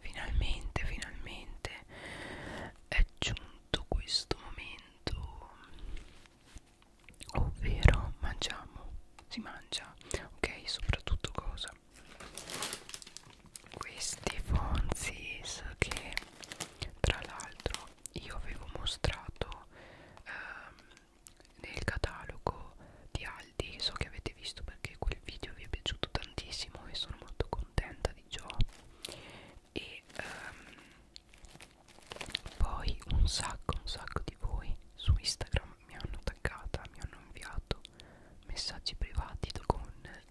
finalmente finalmente è giunto questo momento ovvero mangiamo si mangia ok soprattutto cosa questi fonzis che tra l'altro io avevo mostrato ehm, nel catalogo di Aldi so che avete visto perché quel video vi è piaciuto tantissimo e sono molto contenta di Joe e um, poi un sacco un sacco di voi su Instagram mi hanno attaccata mi hanno inviato messaggi privati con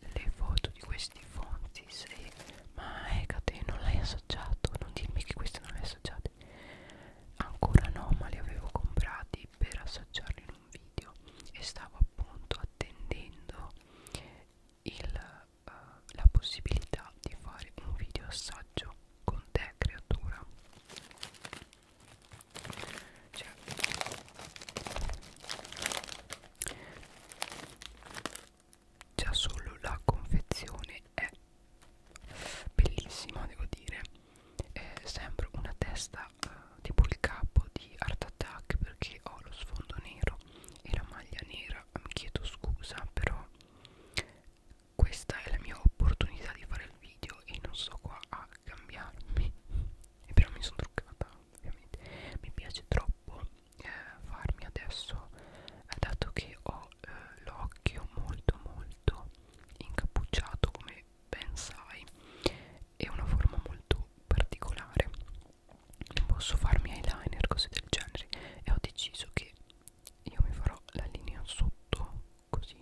le foto di questi fonti se ma Ecate ecco, non l'hai assaggiato non dirmi che queste non le assaggiate ancora no ma li avevo comprati per assaggiarli in un video e stavo appunto a attendendo il, uh, la possibilità di fare un video assaggio con te creatura cioè, già solo la confezione è bellissima devo dire è eh, sempre una testa era eh, tipo il capo di Art Attack perché ho lo sfondo nero e la maglia nera mi chiedo scusa però questa è la mia opportunità di fare il video e non so qua a cambiarmi e però mi sono truccata ovviamente mi piace troppo eh, farmi adesso eh, dato che ho eh, l'occhio molto molto incappucciato come ben sai è una forma molto particolare non posso farmi eyeliner cose del genere e ho deciso che io mi farò la linea sotto così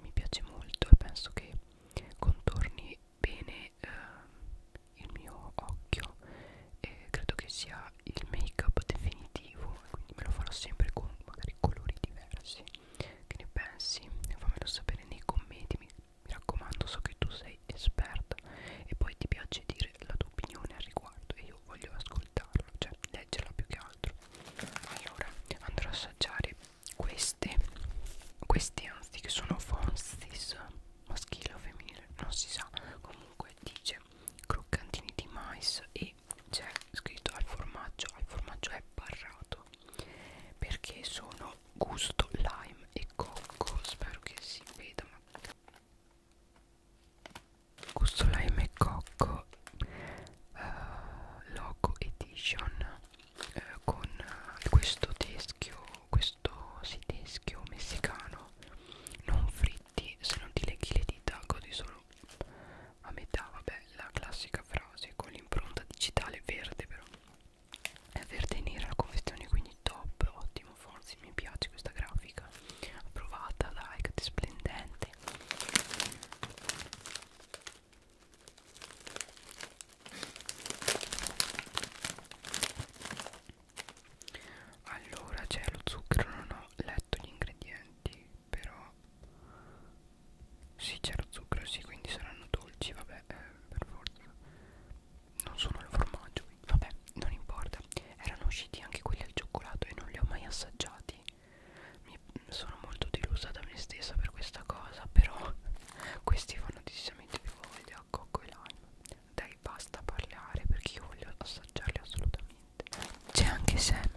mi piace molto e penso che contorni bene eh, il mio occhio e credo che sia il make up definitivo quindi me lo farò sempre con magari colori diversi che ne pensi fammelo sapere nei commenti mi mi raccomando, so che tu sei esperta e poi ti piace dire la tua opinione al riguardo e io voglio ascoltarla, cioè leggerla più che altro. Allora, andrò a assaggiare queste, queste anzi che sono Fonsis, maschile o femminile, non si sa. Comunque dice croccantini di mais e c'è scritto al formaggio, al formaggio è barrato gusto perché sono gusto lime e cocco spero che si veda ma gusto lime e cocco uh, eh, logo edition uh, con uh, questo teschio questo sì, teschio messicano non fritti se non ti leghi le dita godi solo a metà vabbè la classica frase con l'impronta digitale verde però è verde e nera la confezione quindi top ottimo forzi mi piace questa grafica approvata da Icat splendente allora c'è lo zucchero non ho letto gli ingredienti però sì c'era zucchero, sì quindi saranno dolci, vabbè, eh, per forza Non sono il formaggio, quindi. vabbè, non importa Erano usciti anche quelli al cioccolato e non li ho mai assaggiati Mi sono molto delusa da me stessa per questa cosa Però questi fanno decisamente più voglia a cocco e lime Dai basta parlare perché io voglio assaggiarli assolutamente C'è anche Sam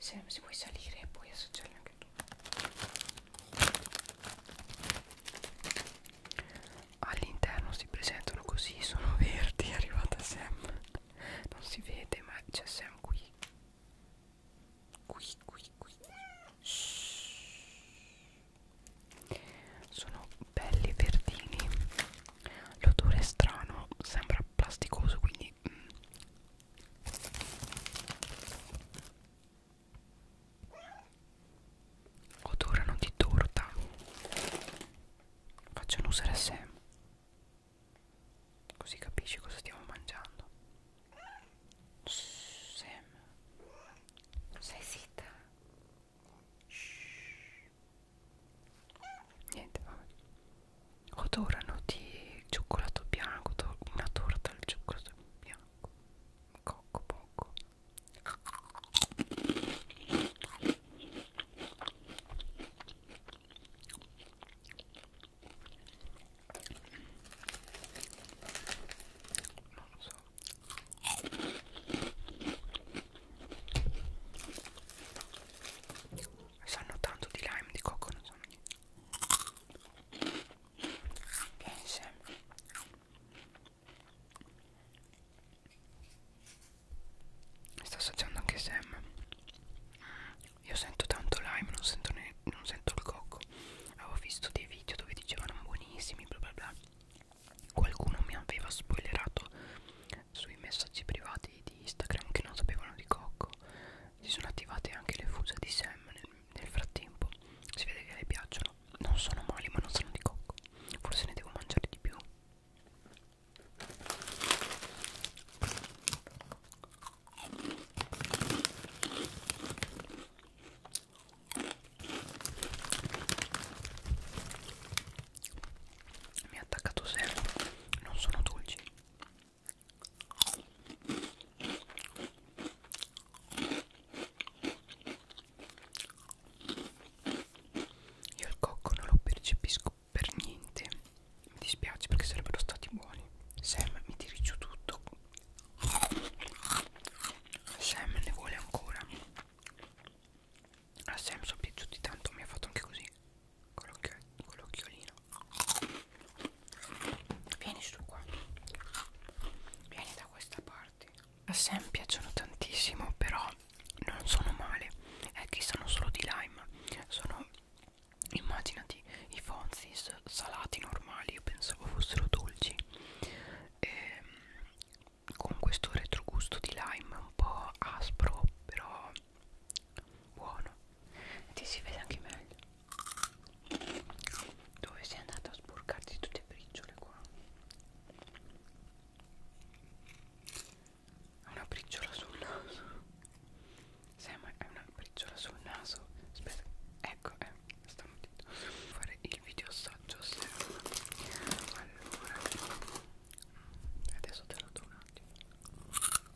se, se vuoi salire e puoi assaggiarli anche tu all'interno si presentano così sono verdi è arrivata Sam non si vede ma c'è Sam qui qui qui qui Shhh. sono belli verdini l'odore è strano sembra plasticoso quindi quindi odorano di torta facciano usare Sam così capisci cosa stiamo mangiando Shh, Sam sei zitta Shh. niente vabbè odorano di cioccolato bianco una torta al cioccolato bianco cocco poco non lo so sanno tanto di lime di cocco non sanno niente Pensa. Sta assaggiando anche Sam. Io sento tanto lime, non sento, ne, non sento il cocco. Avevo visto dei video dove dicevano buonissimi, bla bla bla. Qualcuno mi aveva spoilerato sui messaggi privati di Instagram che non sapevano di cocco si sono attivate anche le fusa di Sam nel, nel frattempo si vede che le piacciono non sono male ma non sono di cocco forse ne devo mangiare di più mi ha attaccato sempre non sono dolci io il cocco non lo percepisco per niente. Mi dispiace perché sarebbero stati buoni. Sam mi tiri giù tutto. Sam ne vuole ancora. A ah, Sam sono piaciuti tanto, mi ha fatto anche così con l'occhiolino vieni su qua vieni da questa parte a sé mi piacciono tantissimo però non sono male è che sono solo di lime sono immaginati i fonzis salati normali io pensavo fossero dolci e, ehm, con questo retrogusto di lime un po' aspro però buono ti si vede anche meglio dove sei andato a sporcarti tutte le briciole qua una briciola sul naso sai ma è una briciola sul naso aspetta ecco eh sta mutito fare il video assaggio allora adesso te lo do un attimo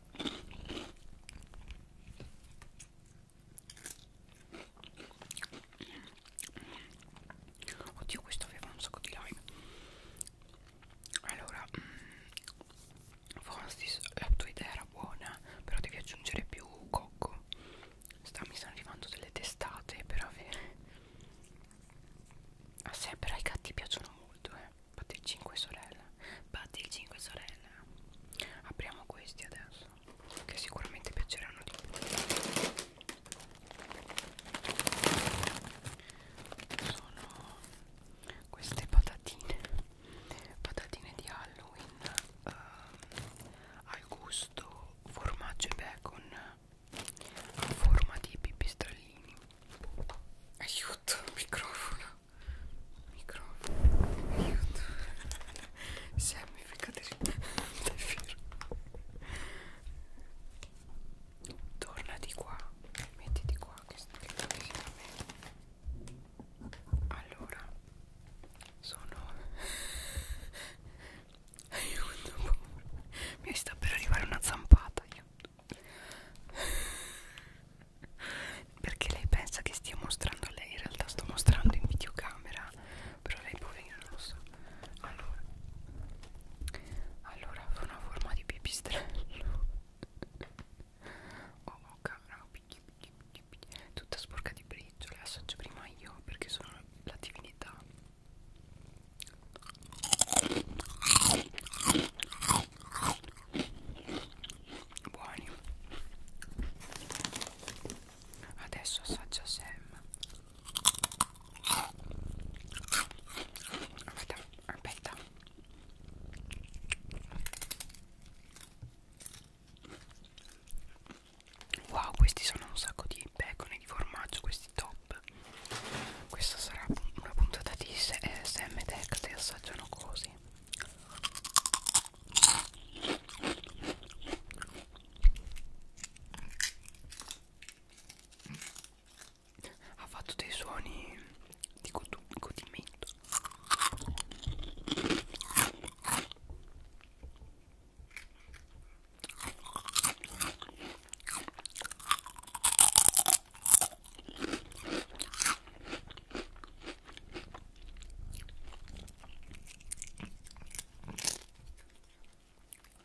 Oddio, questo aveva un sacco di live. Allora, mm, Forstis, la tua idea era buona, però devi aggiungere più cocco. Sta, mi stanno arrivando delle testate per avere. A ah, sempre ai gatti piacciono molto, eh. Batti il 5 sorella Batti il 5 sorella Apriamo questi adesso Che sicuramente piaceranno di più Sono queste patatine Patatine di Halloween uh, Al gusto formaggio e bacon A forma di pipistrellini Aiuto, microfono microfono aiuto Sammy ficcate davvero torna di qua mettiti qua che sta vicino a me allora sono aiuto mi sta per arrivare una zampata aiuto perché lei pensa che stia mostrando a lei in realtà sto mostrando in videocamera però lei poverina non lo so allora allora fa una forma di pipistrello oh bocca oh, no, picchi, picchi, picchi, picchi. tutta sporca di briciole assaggio prima io perché sono la divinità buoni adesso assaggia Sam aspetta aspetta wow questi sono un sacco di bacon e di formaggio questi top questa sarà una puntata di eh, Sam e Tech che assaggiano cose così ha fatto dei suoni di godimento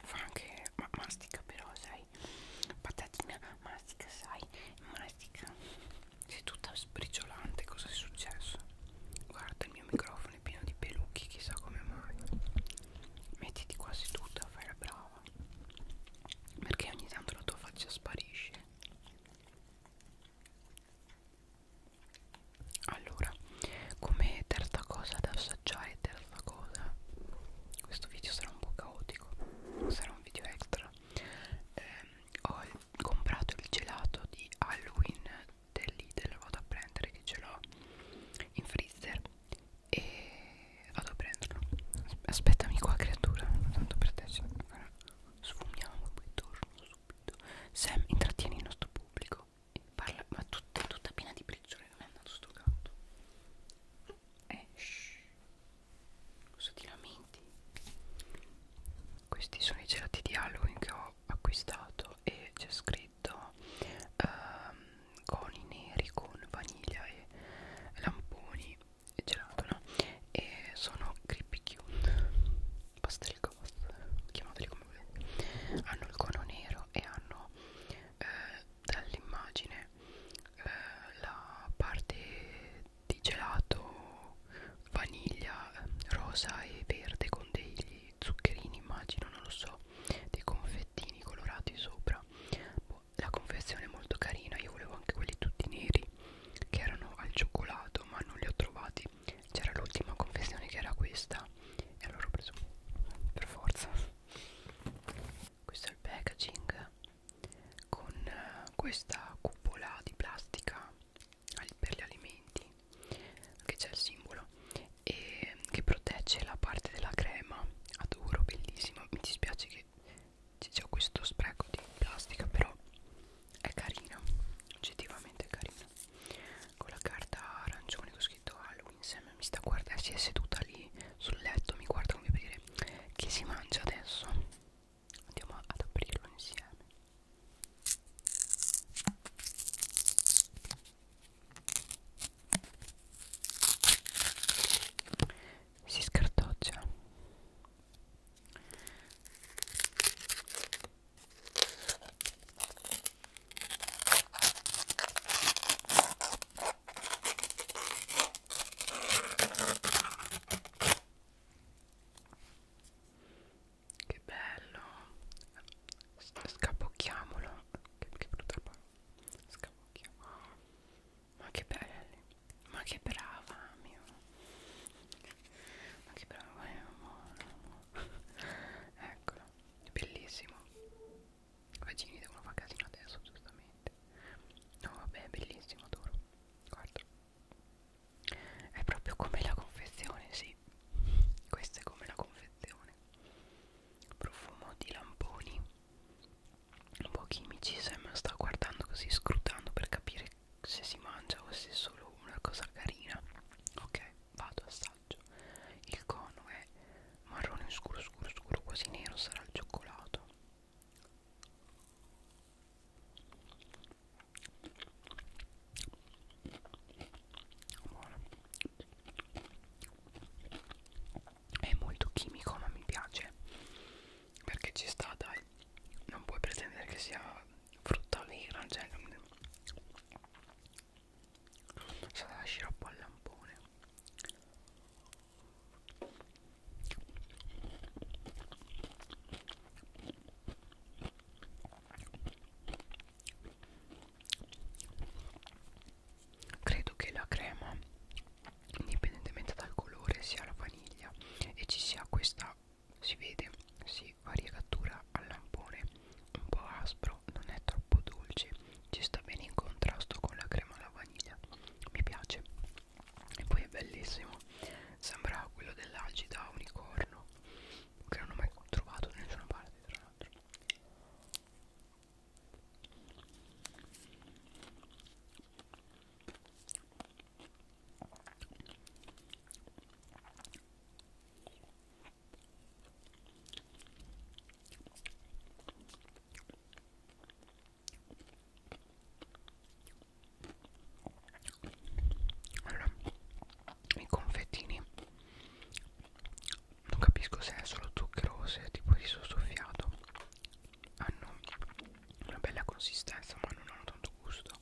fa anche ma mastica però sai patatina mastica sai mastica sei tutta sbriciolante cosa è successo guarda il mio microfono è pieno di pelucchi chissà come mai mettiti qua seduta fai la brava perché ogni tanto la tua faccia sparisce allora come terza cosa da assaggiare terza cosa questo video sarà un po' caotico sarà un video extra eh, ho comprato il gelato di Halloween del Lidl vado a prendere che ce l'ho in freezer e vado a prenderlo aspettami qua creatura tanto per te sfumiamo e poi torno subito Sam intrattiene il nostro pubblico e parla ma tutta, tutta piena di briciole non è andato sto gatto eh shh cosa ti lamenti questi sono i gelati di Halloween che ho acquistato e c'è scritto um, ehm, coni neri con vaniglia e lamponi gelato no? e sono Creepy Cute pastel ghost chiamateli come volete hanno il cono nero e hanno eh, dall'immagine eh, la parte di gelato vaniglia rosa e verde con degli zuccherini immagino non lo so dei confettini colorati sopra boh, la confezione è molto carina io volevo anche quelli tutti neri che erano al cioccolato ma non li ho trovati c'era l'ultima confezione che era questa e allora ho preso per forza questo è il packaging con eh, questa cupola di plastica per gli alimenti che c'è il simbolo e che protegge la parte della crema adoro bellissima mi dispiace che che c'è questo spreco di plastica però è carino oggettivamente è carino con la carta arancione con scritto Halloween Sam mi sta guardando si è seduta lì sul letto mi guarda come per dire che si mangia adesso andiamo ad aprirlo insieme si scartoccia che bello, scapocchiamolo. Che, che brutta parola, scapocchiamolo ma che belli ma che brava mio ma che brava mio eh, amore, amore. eccolo bellissimo vagini devono fare casino adesso giustamente no vabbè bellissimo adoro guarda è proprio come la confezione sì questa è come la confezione profumo di lamponi un po' chimici Sam sta guardando così scrutando per capire se si mangia o se è solo una cosa carina ok vado assaggio il cono è marrone scuro scuro scuro quasi nero sarà il cioccolato buono è molto chimico ma mi piace perché ci sta dai non puoi pretendere che sia frutta vera cioè non... sarà la sciroppo al lampone credo che la crema indipendentemente dal colore sia la vaniglia e ci sia questa si vede si variegatura al lampone un po' aspro non è troppo dolce ci sta bene in contrasto con la crema alla vaniglia mi piace e poi è bellissimo sembra quello dell'agida unicorno che non ho mai trovato da nessuna parte tra l'altro allora, i confettini non capisco se è solo zucchero o se è tipo riso soffiato hanno ah, una bella consistenza ma non hanno tanto gusto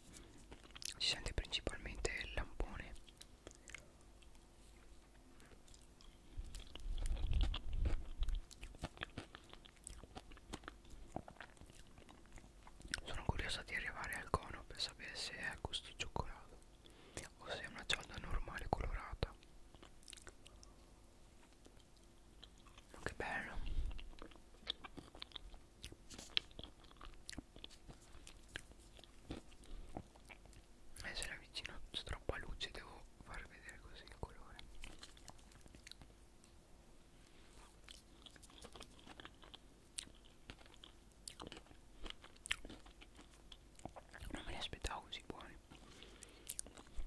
si sente principalmente il lampone sono curiosa di arrivare al cono per sapere se è a gusto cioccolato o se è una cialda normale colorata che bello adesso era vicino c'è troppa luce devo far vedere così il colore non me li aspettavo così buoni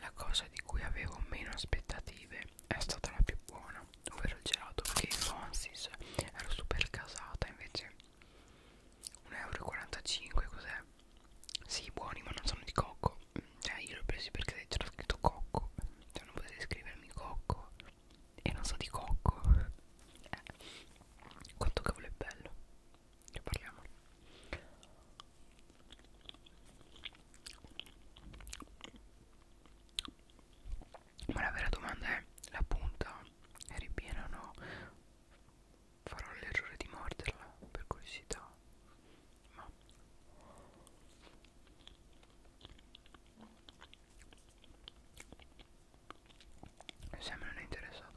La cosa di cui avevo meno aspettative è stata la più buona, ovvero il gelato, perché in Fonsis ero super casata, invece 1,45€ cos'è? Sì, buoni, ma non sono di cocco. Cioè, io l'ho preso perché c'era scritto cocco. Cioè, non potete scrivermi cocco. E non so di cocco. Eh, quanto cavolo è bello. Ne parliamo. Ma la vera domanda è la punta è ripiena o no? Farò l'errore di morderla per curiosità. Ma se me non è interessato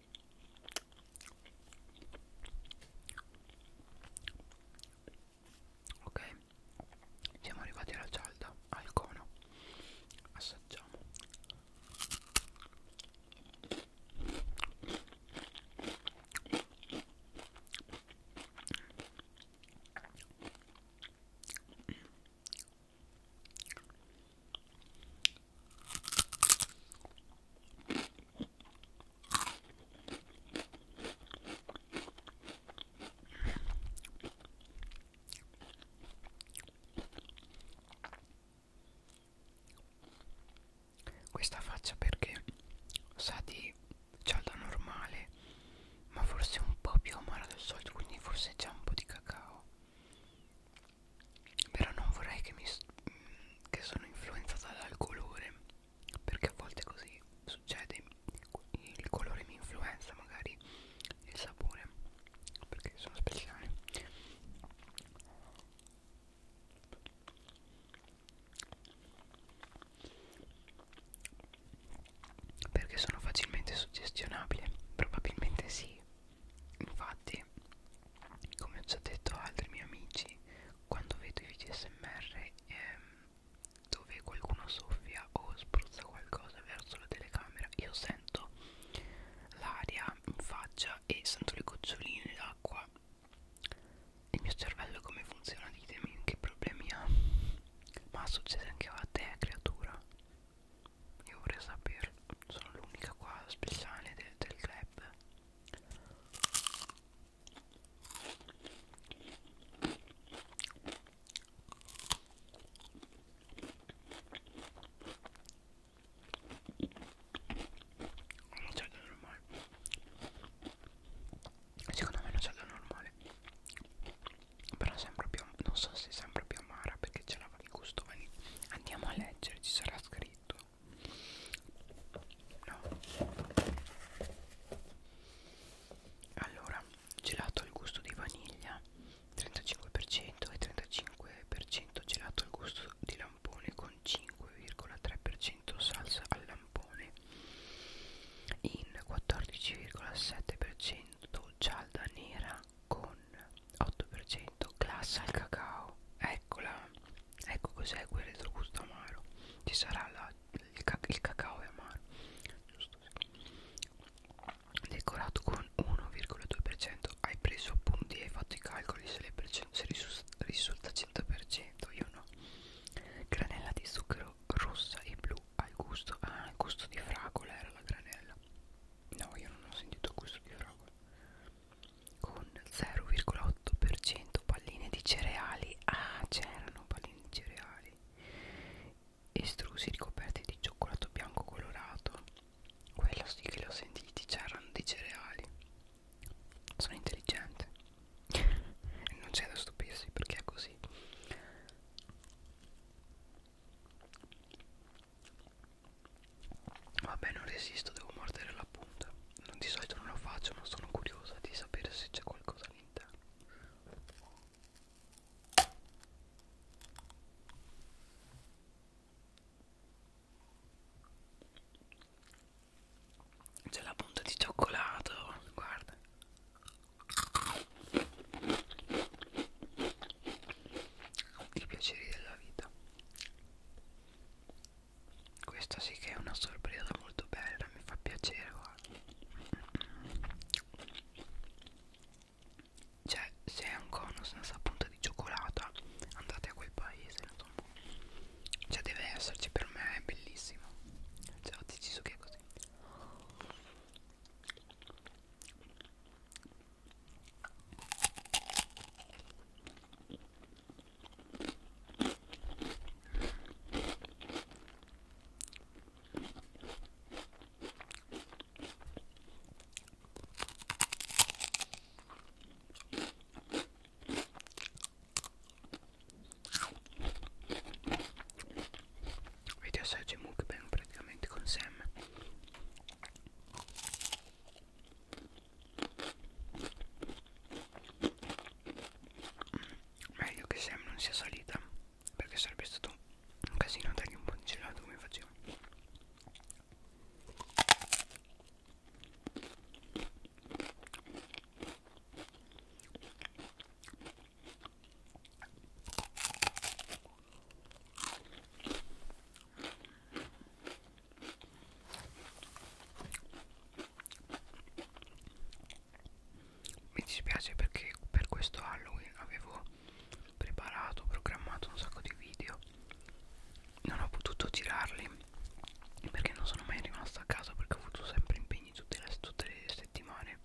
ok siamo arrivati alla cialda al cono assaggiamo questa faccia perché sa di cialda normale, ma forse un po' più amara del solito, quindi forse c'è un po' di cacao però non vorrei che mi mm, che sono influenzata dal colore perché a volte così succede il colore mi influenza magari il sapore perché sono speciali perché sono facilmente suggestionabile probabilmente sì Infatti, come ho già detto a altri miei amici, quando vedo i video smr ehm, dove qualcuno soffia o spruzza qualcosa verso la telecamera, io sento l'aria in faccia e sento le goccioline d'acqua. Il mio cervello come funziona? Ditemi che problemi ha. Ma succede anche a te, creatura? Io vorrei saperlo. Sono l'unica qua speciale de del club. Non c'è da normale. Secondo me non c'è da normale. Però sembra più non so se sembra più amara perché ce l'aveva il gusto. Andiamo a leggere, ci sarà scritto marito no allora gelato al gusto di vaniglia 35% e 35% gelato al gusto di lampone con 5,3% salsa al lampone in 14,7% cialda nera con 8% glassa al cacao eccola ecco cos'è quel retrogusto amaro ci sarà la, il, cac il cacao è amaro giusto sì. decorato con 1,2% hai preso appunti e hai fatto i calcoli se, le se risulta, risulta 100% io no granella di zucchero rossa e blu al gusto ah il gusto di fragola era la granella no io non ho sentito il gusto di fragola con 0,8% palline di cereali ah c'erano palline di cereali estrusi ricoperti di cioccolato bianco colorato quello sì che li ho sentiti c'erano dei cereali sono intelligente non c'è da stupirsi perché è così Vabbè non resisto, devo mordere la punta. Non di solito non lo faccio, ma sono curiosa di sapere se c'è qualcosa all'interno. C'è la punta di cioccolato, guarda. I piaceri della vita. Questa sì che è una sorpresa molto bella, mi fa piacere guarda. Cioè, se è un cono senza punta di cioccolata, andate a quel paese, insomma. Cioè, deve esserci, per me è bellissimo. Cioè, ho deciso che è così. Vedi assaggio mukbang praticamente con Sam Meglio che Sam non sia salita perché sarebbe stato un casino dargli un po' di gelato come facevo. Mi dispiace perché per questo Halloween avevo preparato, programmato un sacco di video Non ho potuto girarli perché non sono mai rimasta a casa perché ho avuto sempre impegni tutte le, tutte le settimane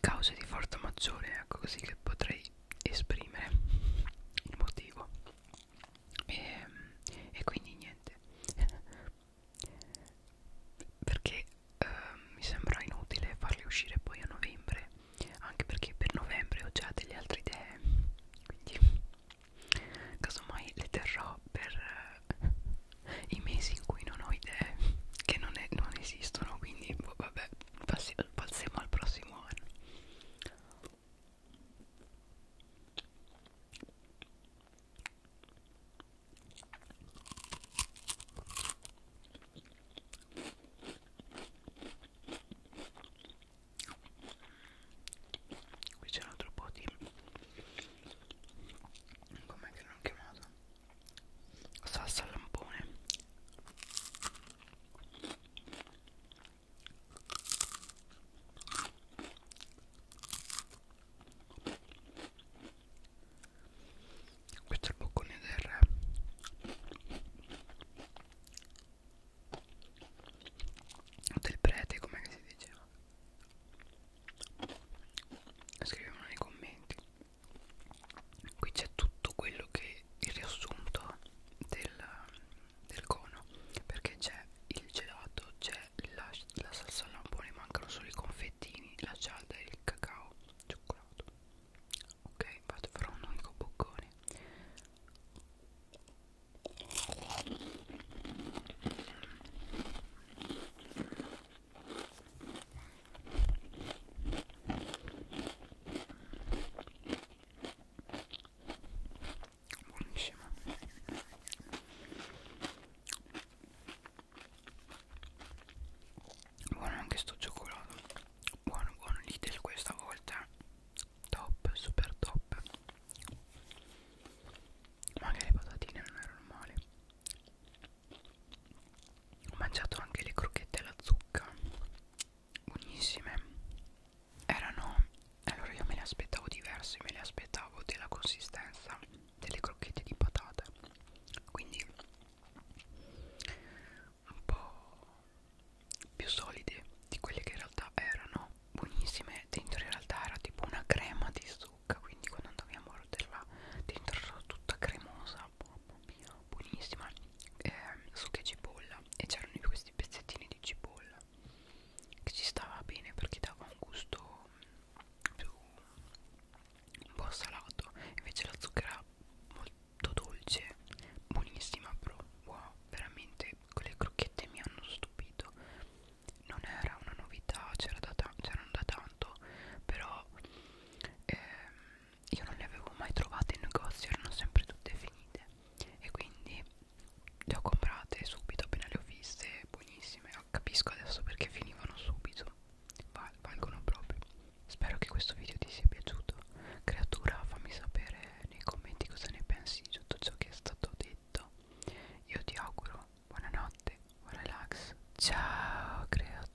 Cause di forza maggiore, ecco così che potrei esprimere il motivo e, ehm, e quindi niente perché eh, mi sembra inutile farli uscire poi a novembre anche perché per novembre ho già delle altre idee quindi casomai le terrò per eh, i mesi in cui non ho idee che non, è, non esistono quindi boh, vabbè passiamo al prossimo anno Qui c'è un altro po' di... Com'è che l'hanno chiamato? Salsa al lampone questo è il boccone del re del prete com'è che si diceva scriviamolo nei commenti qui c'è tutto quello che il riassunto del, del cono perché c'è il gelato c'è la, la salsa al lampone mancano solo i confettini la cialda e il cacao cioccolato ok vado farò un unico boccone buonissimo buono anche sto cioccolato buono buono Lidl questa volta top super top ma anche le patatine non erano male ho mangiato anche le crocchette alla zucca buonissime erano allora io me le aspettavo diverse me le aspettavo della consistenza delle crocchette di patate quindi un po' più solide di quelle che in realtà erano buonissime dentro in realtà era tipo una crema di zucca quindi quando andavi a morderla dentro era tutta cremosa mamma mia buonissima eh, succa e cipolla e c'erano questi pezzettini di cipolla che ci stava bene perché dava un gusto più un po' salato invece la zucchera molto dolce buonissima però wow veramente quelle crocchette mi hanno stupito non era una novità c'era da, ta da tanto però ehm, io non le avevo mai trovate in negozio, erano sempre tutte finite e quindi le ho comprate subito appena le ho viste, buonissime, oh, capisco adesso perché finivano subito, Val valgono proprio. Spero che questo video ti sia piaciuto, creatura fammi sapere nei commenti cosa ne pensi di tutto ciò che è stato detto, io ti auguro buonanotte, buon relax, ciao creatura.